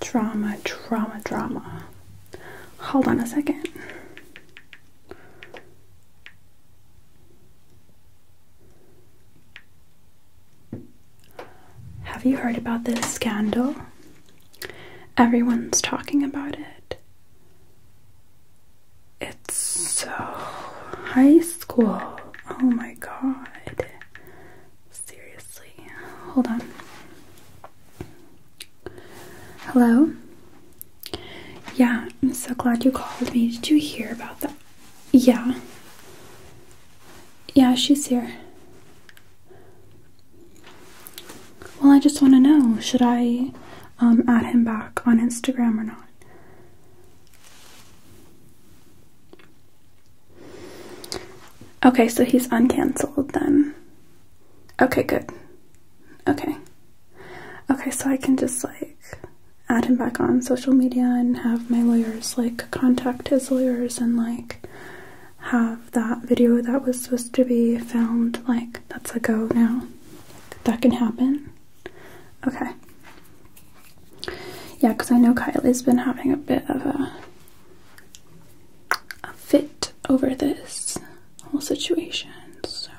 Drama, drama, drama. Hold on a second. Have you heard about this scandal? Everyone's talking about it. It's so high school. Oh my god. Seriously. Hold on. Hello? Yeah, I'm so glad you called me. Did you hear about that? Yeah. Yeah, she's here. Well, I just want to know should I um, add him back on Instagram or not? Okay, so he's uncanceled then. Okay, good. Okay. Okay, so I can just like add him back on social media and have my lawyers like contact his lawyers and like have that video that was supposed to be filmed, like, that's a go now. That can happen. Okay. Yeah, because I know Kylie's been having a bit of a, fit over this whole situation, so.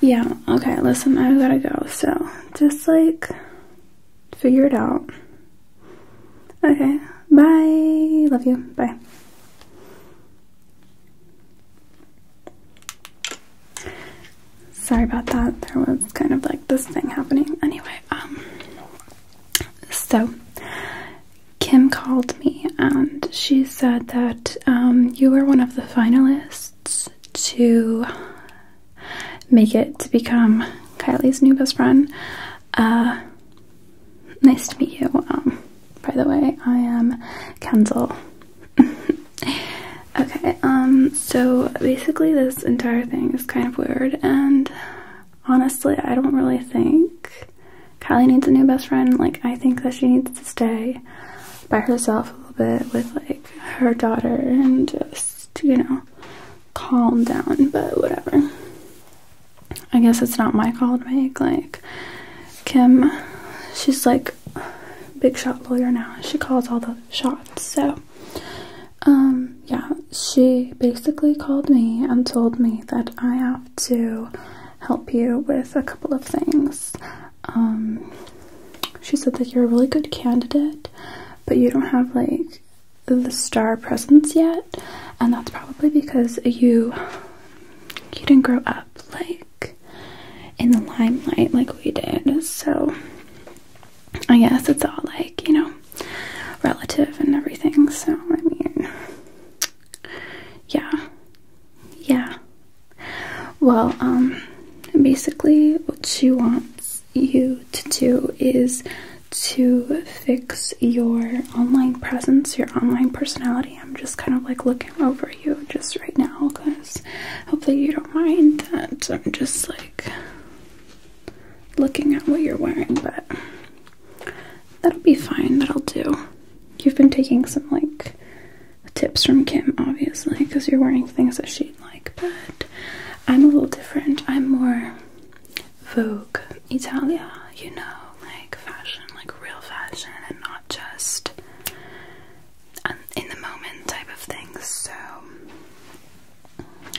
Yeah, okay, listen, i gotta go, so just like figure it out. Okay, bye. Love you. Bye. Sorry about that. There was kind of like this thing happening. Anyway, um, so Kim called me and she said that um, you were one of the finalists to make it to become Kylie's new best friend. Uh, Nice to meet you. Um, by the way, I am Kenzel. okay, um, so basically, this entire thing is kind of weird, and honestly, I don't really think Kylie needs a new best friend. Like, I think that she needs to stay by herself a little bit with like her daughter and just, you know, calm down, but whatever. I guess it's not my call to make. Like, Kim, she's like big shot lawyer now. She calls all the shots. So, um, yeah, she basically called me and told me that I have to help you with a couple of things. Um, she said that you're a really good candidate, but you don't have like the star presence yet, and that's probably because you you didn't grow up like in the limelight like we did. So I guess it's all like you know relative and everything. So I mean, yeah, yeah. Well, um, basically, what she wants you to do is to fix your online presence, your online personality. I'm just kind of like looking over you just right now because hopefully you don't mind that. I'm just like looking at what you're wearing, but that'll be fine. That'll do. You've been taking some like tips from Kim, obviously, because you're wearing things that she'd like, but I'm a little different. I'm more Vogue Italia, you know, like fashion, like real fashion, and not just in the moment type of things. So,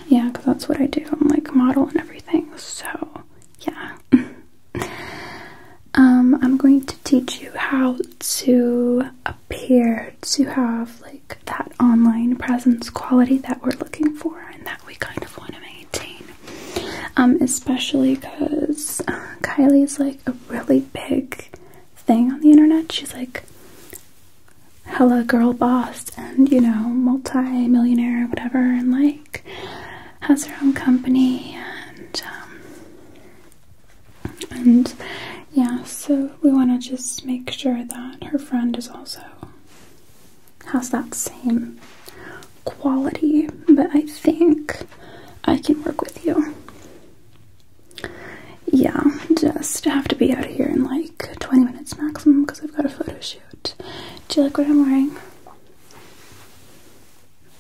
yeah, because that's what I do. I'm like model and everything. So, yeah. um, I'm going to teach you how to appear to have like that online presence quality that we're looking for and that we kind of want to maintain, um, especially because uh, Kylie's like a really big thing on the internet. She's like hella girl boss and you know multi-millionaire or whatever, and like has her own company and um, and yeah. So we want to just make sure that her friend is also has that same quality, but I think I can work with you. Yeah, just have to be out of here in like 20 minutes maximum because I've got a photo shoot. Do you like what I'm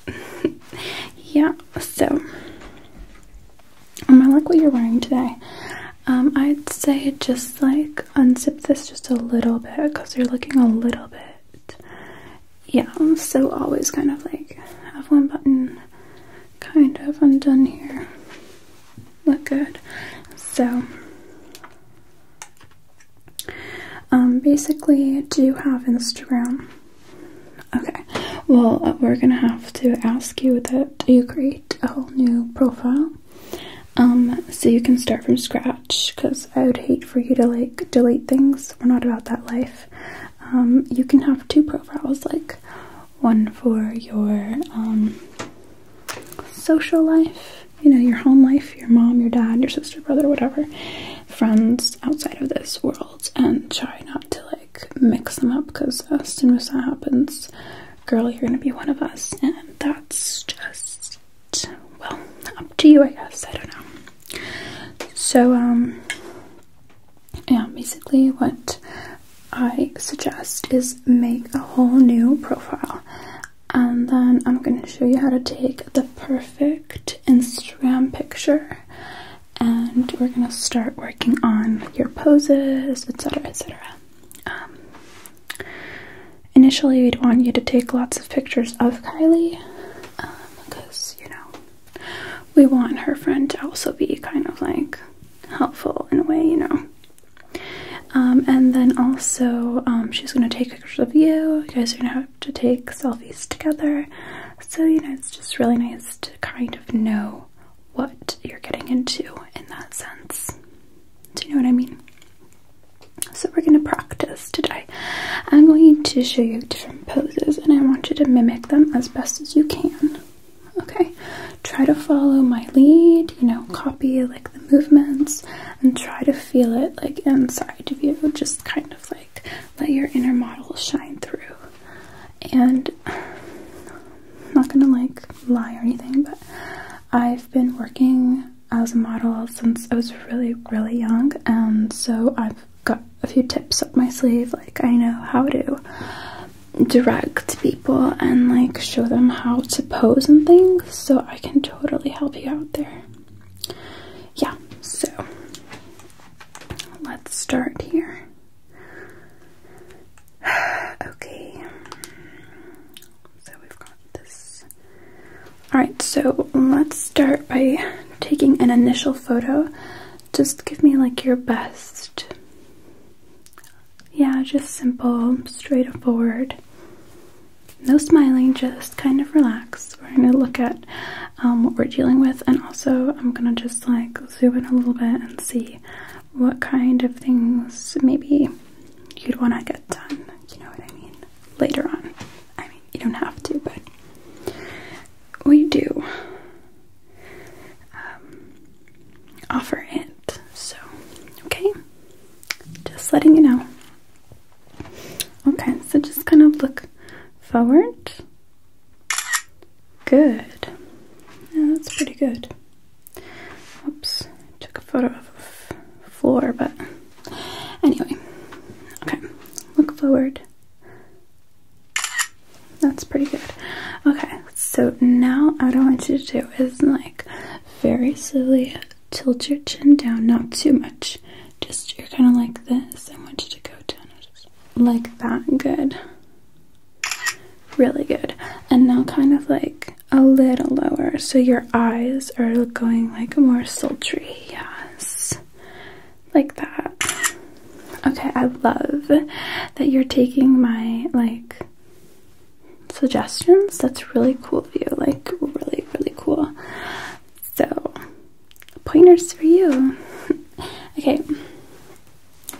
wearing? yeah, so um, I like what you're wearing today. Um, I'd say just like unzip this just a little bit because you're looking a little bit. Yeah, so always kind of like have one button kind of undone here. Look good. So, um, basically, do you have Instagram? Okay, well, we're gonna have to ask you that you create a whole new profile um, so you can start from scratch because I would hate for you to like delete things. We're not about that life. Um, you can have two profiles, like one for your um, social life, you know, your home life, your mom, your dad, your sister, brother, whatever, friends outside of this world, and try not to like mix them up because as soon as that happens, girl, you're gonna be one of us, and that's just well up to you, I guess. I don't know. So, um, yeah, basically, what I suggest is make a whole new profile, and then I'm gonna show you how to take the perfect Instagram picture. And we're gonna start working on your poses, etc., etc. Um, initially, we'd want you to take lots of pictures of Kylie because, um, you know, we want her friend to also be kind of like helpful in a way, you know. Um, and then also, she's going to take pictures of you. You guys are going to have to take selfies together. So, you know, it's just really nice to kind of know what you're getting into in that sense. Do you know what I mean? So we're going to practice today. I'm going to show you different poses and I want you to mimic them as best as you can. Okay? Try to follow my lead, you know, copy like the movements and try to feel it like inside of you. Just kind of like let your inner model shine through. And not going to like lie or anything, but. I've been working as a model since I was really, really young, and so I've got a few tips up my sleeve. Like, I know how to direct people and like show them how to pose and things, so I can totally help you out there. Yeah, so let's start here. Okay, so we've got this. Alright, so let's start by taking an initial photo. Just give me like your best. Yeah, just simple, straightforward. No smiling, just kind of relax. We're going to look at um, what we're dealing with, and also I'm going to just like zoom in a little bit and see what kind of things maybe you'd want to get you know what I mean? Later on. I mean, you don't have to, but we do um, offer it. So, okay? Just letting you know. Okay, so just kind of look forward. Good. Yeah, that's pretty good. Oops, took a photo of the floor, but anyway. Okay, look forward. That's pretty good. Okay, so now what I want you to do is like very slowly tilt your chin down, not too much. Just you're kind of like this. I want you to go down like that. Good, really good. And now kind of like a little lower so your eyes are going like more sultry. Yes. Like that. Okay, I love that you're taking my like suggestions. That's really cool of you. Like really, really cool. So pointers for you. okay.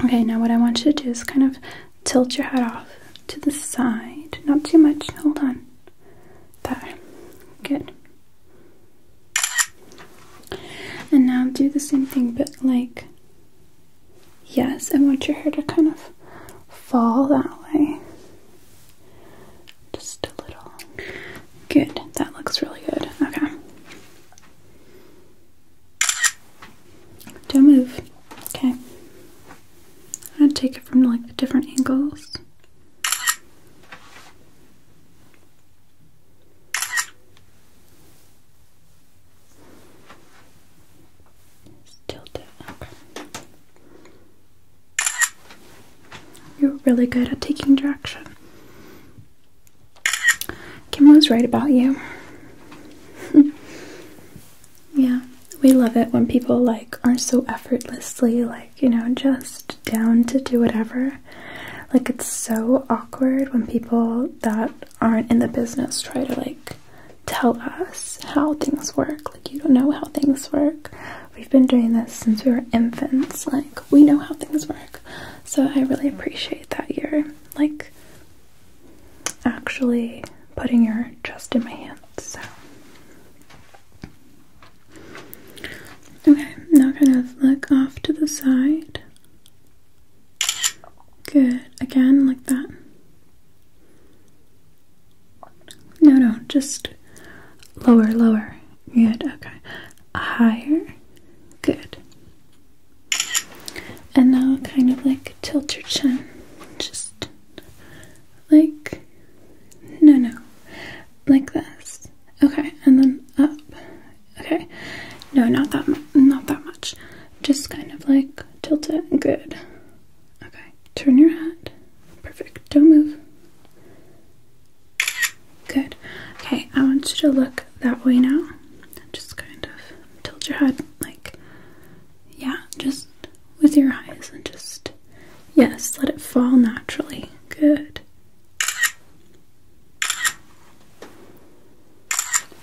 Okay, now what I want you to do is kind of tilt your head off to the side. Not too much. Hold on. There. Good. And now do the same thing, but like, yes, I want your hair to kind of fall that way. Just a little. Good. That looks really good. Okay. Don't move. Okay. I'm going to take it from like the different angles. tilt it. You're really good at taking direction. Kim was right about you. Yeah, we love it when people like aren't so effortlessly like, you know, just down to do whatever. Like it's so awkward when people that aren't in the business try to like tell us how things work. Like you don't know how things work. We've been doing this since we were infants. Like we know how things work. So I really appreciate that you're like actually putting your chest in my hands. okay, now kind of look off to the side. Good. Again, like that. No, no, just lower, lower. Good. Okay. Higher. Good. And now kind of like tilt your chin. Just like no no like this okay and then up okay no not that not that much just kind of like tilt it good okay turn your head perfect don't move good okay I want you to look that way now just kind of tilt your head like yeah, just with your eyes and just, yes, let it fall naturally. Good.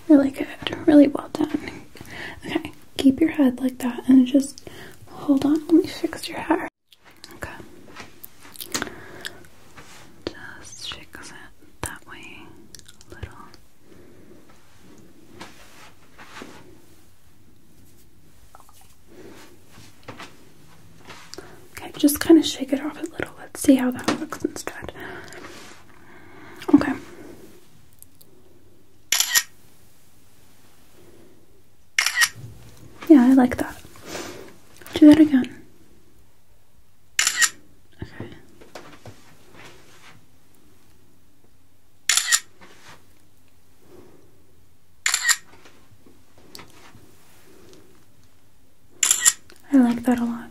Really good. Really well done. Okay, keep your head like that and just hold on. Let me fix your hair. Okay. Just shake it that way a little. Okay, just kind of shake it off a little. Let's see how that looks instead. Okay. Yeah, I like that. Do that again. Okay. I like that a lot.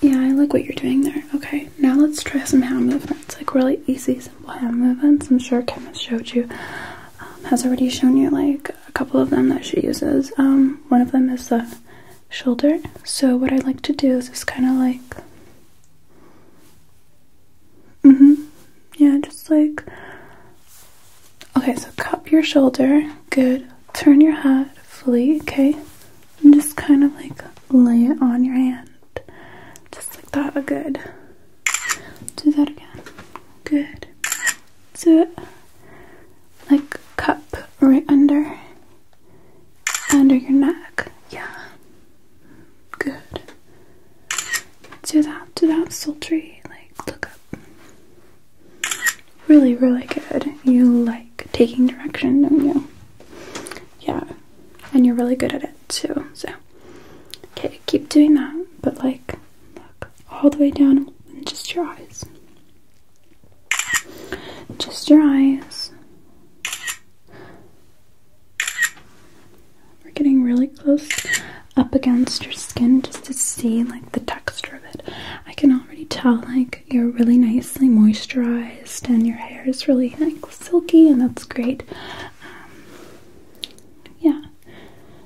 Yeah, I like what you're doing there. Okay, now let's try some hand movements. Like really easy, simple hand movements. I'm sure Kim has showed you, um, has already shown you like a couple of them that she uses. Um, one of them is the shoulder. So what I like to do is just kind of like Mm-hmm. Yeah, just like Okay, so cup your shoulder. Good. Turn your head fully, okay? And just kind of like lay it on your hand. Just like that. A good. Do that again. Good. So, Like cup right under under your neck. Yeah. Good. Do that. Do that sultry. Like look up. Really, really good. You like taking direction, don't you? Yeah. And you're really good at it too. So okay, keep doing that. But like look all the way down and just your eyes. Just your eyes. We're getting really close up against your skin just to see like the texture of it. I can already tell like you're really nicely moisturized and your hair is really like silky and that's great. Um, yeah.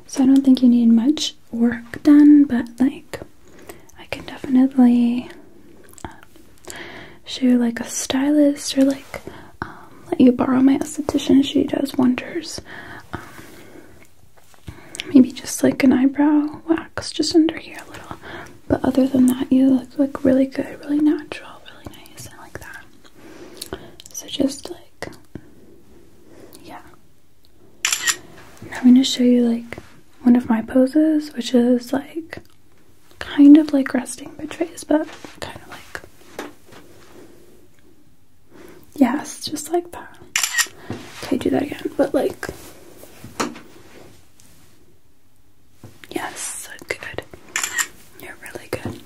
So I don't think you need much work done, but like I can definitely she like a stylist or like um, let you borrow my esthetician. She does wonders. Um, maybe just like an eyebrow wax just under here a little. But other than that, you look like really good, really natural, really nice. like that. So just like yeah. I'm gonna show you like one of my poses, which is like kind of like resting betrays, but kind of like. Yes, just like that. Okay, do that again, but like. Yes, good. You're really good.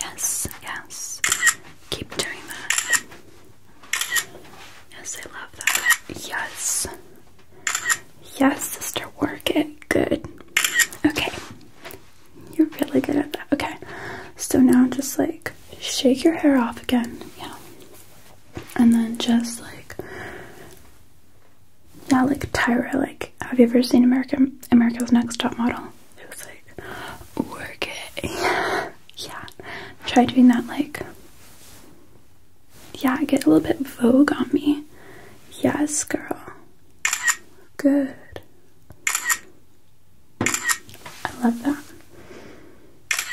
Yes, yes. Keep doing that. Yes, I love that. Yes. Yes, sister, work it. Good. Okay. You're really good at that. Okay. So now just like shake your hair off again. Yeah. And then just like yeah, like Tyra, like have you ever seen American America's Next Top Model? It was like work it. yeah. Try doing that like yeah, get a little bit vogue on me. Yes, girl. Good. I love that.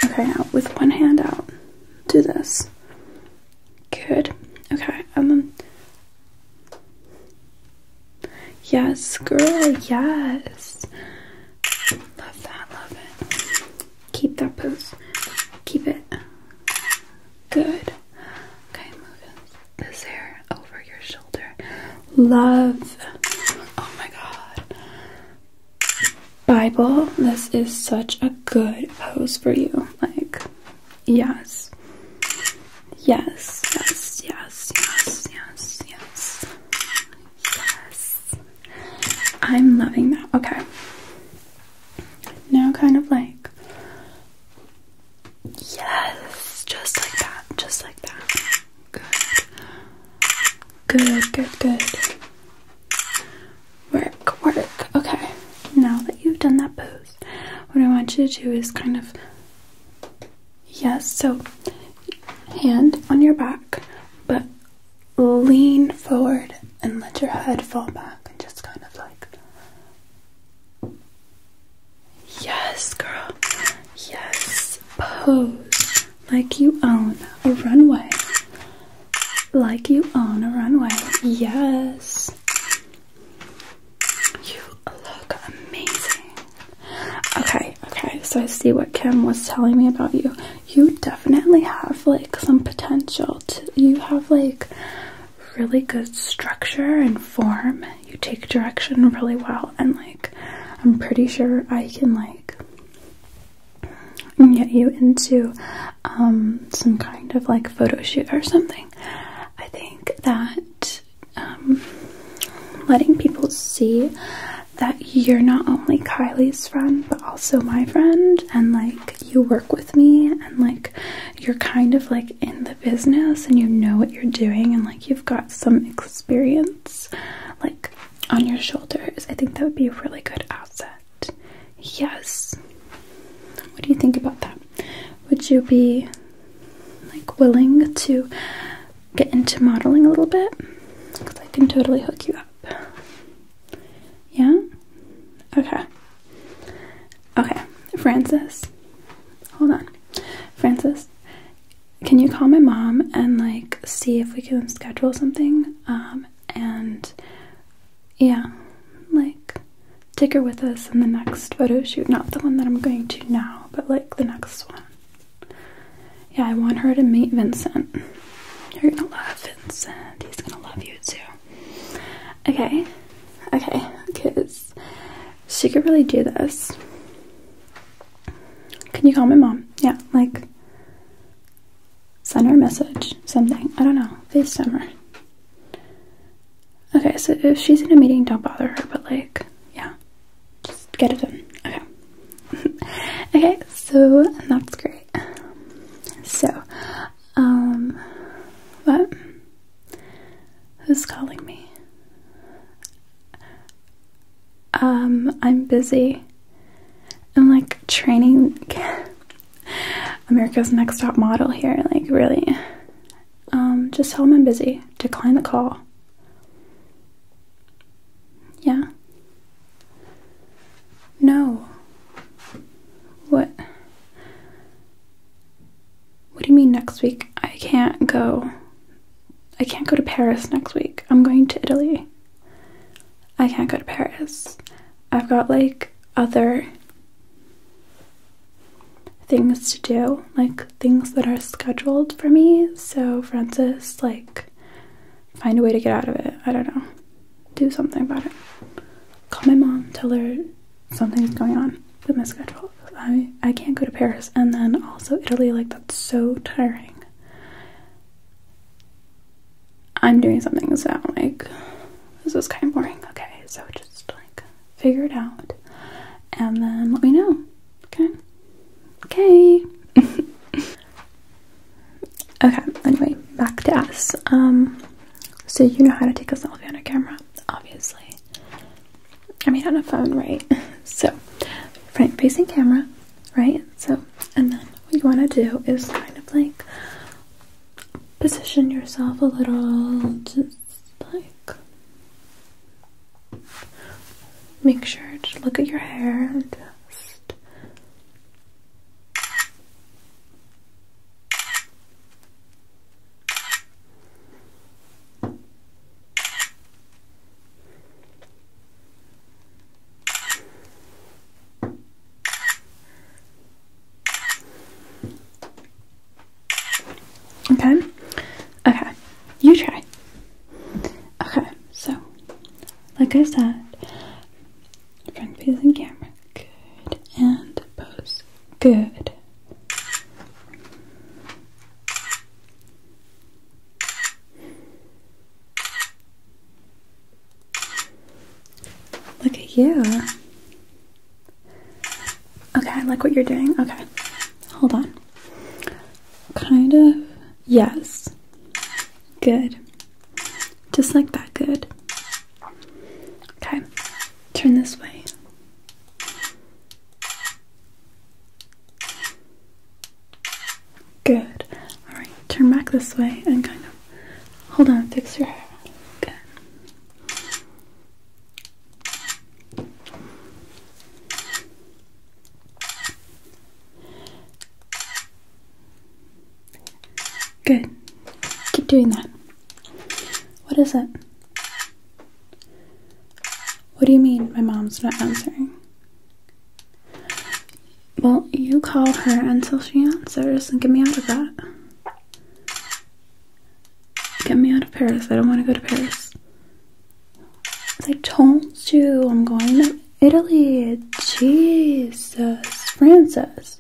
Okay, now with one hand out, do this. Good. Okay, and then. Yes, girl, yes. Love that, love it. Keep that pose. Keep it. Good. Okay, move this hair over your shoulder. Love. Oh my god. Bible, this is such a good pose for you. Like, yes. Yes, yes, yes, yes, yes, yes. Yes. I'm loving that. Okay. Now, kind of like. Yes. Just like that. Just like that. Good. Good, good, good. Work, work. Okay. Now that you've done that pose, what I want you to do is kind of. Yes, so hand on your back, but lean forward and let your head fall back and just kind of like. Yes, girl. Yes. Pose like you own a runway. Like you own a runway. Yes. You look amazing. Okay, okay. So I see what Kim was telling me about you you definitely have like some potential to you have like really good structure and form you take direction really well and like i'm pretty sure i can like get you into um, some kind of like photo shoot or something i think that um, letting people see that you're not only Kylie's friend, but also my friend, and like you work with me, and like you're kind of like in the business and you know what you're doing, and like you've got some experience like on your shoulders. I think that would be a really good asset. Yes. What do you think about that? Would you be like willing to get into modeling a little bit? Because I can totally hook you up. Yeah? Okay. Okay, Francis. Hold on. Francis, can you call my mom and like see if we can schedule something? Um, and yeah, like take her with us in the next photo shoot. Not the one that I'm going to now, but like the next one. Yeah, I want her to meet Vincent. You're gonna love Vincent. He's gonna love you too. Okay, okay, because she could really do this. Can you call my mom? Yeah, like send her a message, something. I don't know. FaceTime her. Okay, so if she's in a meeting, don't bother her, but like, yeah, just get it done. Okay. okay, so that's great. So, um, what? Who's calling me? Um, I'm busy. I'm like training America's Next Top Model here, like really. Um, just tell them I'm busy. Decline the call. Yeah. No. What? What do you mean next week? I can't go. I can't go to Paris next week. I'm going to Italy. I can't go to Paris. I've got like other things to do, like things that are scheduled for me. So, Francis, like find a way to get out of it. I don't know. Do something about it. Call my mom, tell her something's going on with my schedule. I I can't go to Paris and then also Italy, like that's so tiring. I'm doing something so like this is kind of boring. Okay, so just like figure it out and then let me know. Okay. Okay. Okay, anyway, back to us. Um, so you know how to take a selfie on a camera, obviously. I mean, on a phone, right? So, front facing camera, right? So, and then what you want to do is kind of like position yourself a little, just like make sure to look at your hair and just Okay. Okay. You try. Okay. So like I said, front facing camera, good, and pose, good. Look at you. Okay, I like what you're doing. Okay, hold on. Kind of Yes. Good. Just like that. Good. Okay. Turn this way. Good. All right. Turn back this way and kind of hold on. Fix your hair. Good. Good. Keep doing that. What is it? What do you mean my mom's not answering? Well, you call her until she answers and get me out of that. Get me out of Paris. I don't want to go to Paris. I told you I'm going to Italy, Jesus, Francis.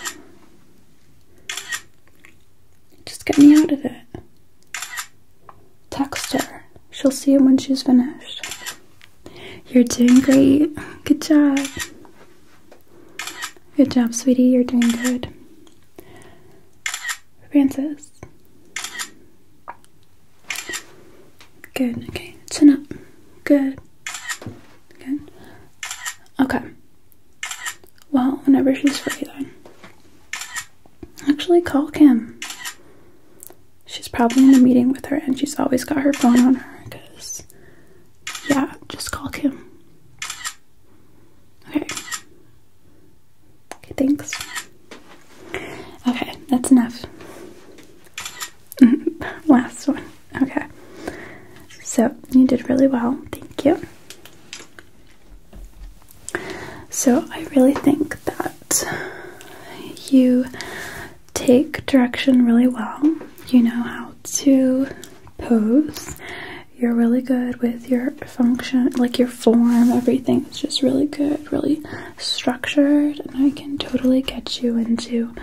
Just get me out of it. Text her. She'll see it when she's finished. You're doing great. Good job. Good job, sweetie. You're doing good. Francis, Good. Okay. Turn up. Good. Good. Okay. Well, whenever she's free, then. Actually, call Kim. She's probably in a meeting with her, and she's always got her phone on her. Cause, yeah, just call Kim. Okay. Okay, thanks. Okay, that's enough. Last one. Okay. So, you did really well. Thank you. So, I really think that you take direction really well. You know how to pose. You're really good with your function, like your form, everything. It's just really good, really structured, and I can totally get you into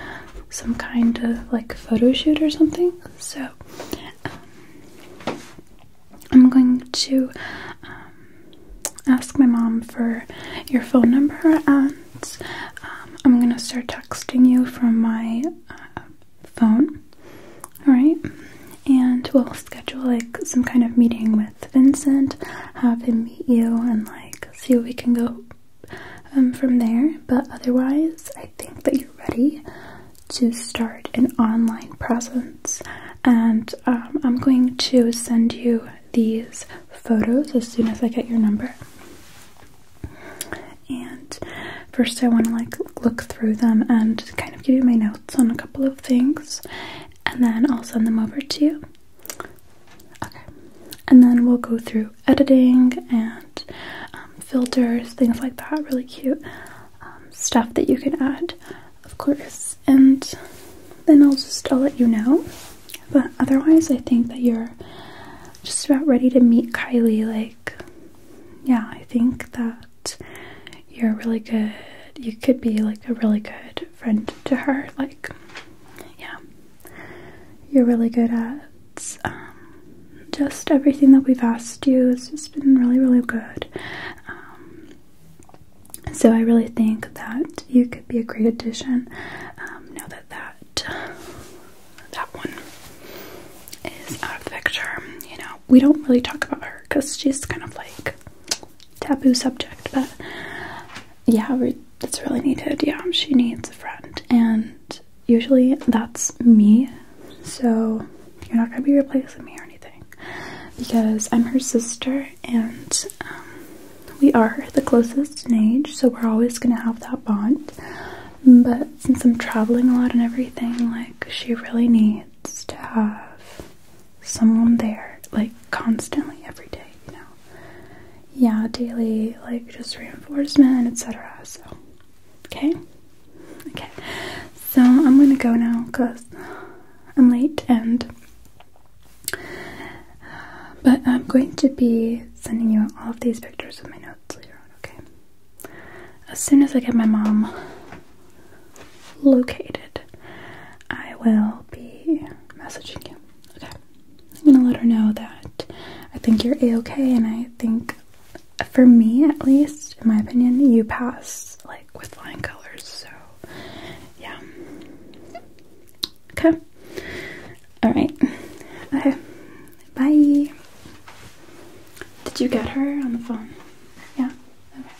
some kind of like photo shoot or something. So, um, I'm going to um, ask my mom for your phone number, and um, I'm gonna start texting you from my uh, phone. All right, and we'll schedule like some kind of meeting with Vincent, have him meet you, and like see if we can go um, from there. But otherwise, I think that you're ready to start an online presence, and um, I'm going to send you these photos as soon as I get your number. And first, I want to like look through them and kind of give you my notes on a couple of things and then I'll send them over to you. Okay, and then we'll go through editing and um, filters, things like that. Really cute um, stuff that you can add, of course. And then I'll just I'll let you know. But otherwise, I think that you're just about ready to meet Kylie. Like, yeah, I think that you're really good. You could be like a really good friend to her. Like, yeah, you're really good at um, just everything that we've asked you. It's just been really, really good. Um, so I really think that you could be a great addition. Um, now that that that one is out of the picture, you know, we don't really talk about her because she's kind of like taboo subject, but yeah, it's really needed. Yeah, she needs a friend, and usually that's me, so you're not gonna be replacing me or anything because I'm her sister, and um, we are the closest in age, so we're always gonna have that bond. But since I'm traveling a lot and everything, like, she really needs to have someone there, like constantly every day, you know. Yeah, daily, like just reinforcement, etc. So, okay, okay. So I'm gonna go now because I'm late, and but I'm going to be sending you all of these pictures of my notes later on. Okay. As soon as I get my mom located, I will be messaging you. Okay. I'm gonna let her know that I think you're a okay, and I think, for me at least, in my opinion, you passed like with flying colors. So, yeah. Okay. All right. Okay. Bye. Did you get her on the phone? Yeah. Okay.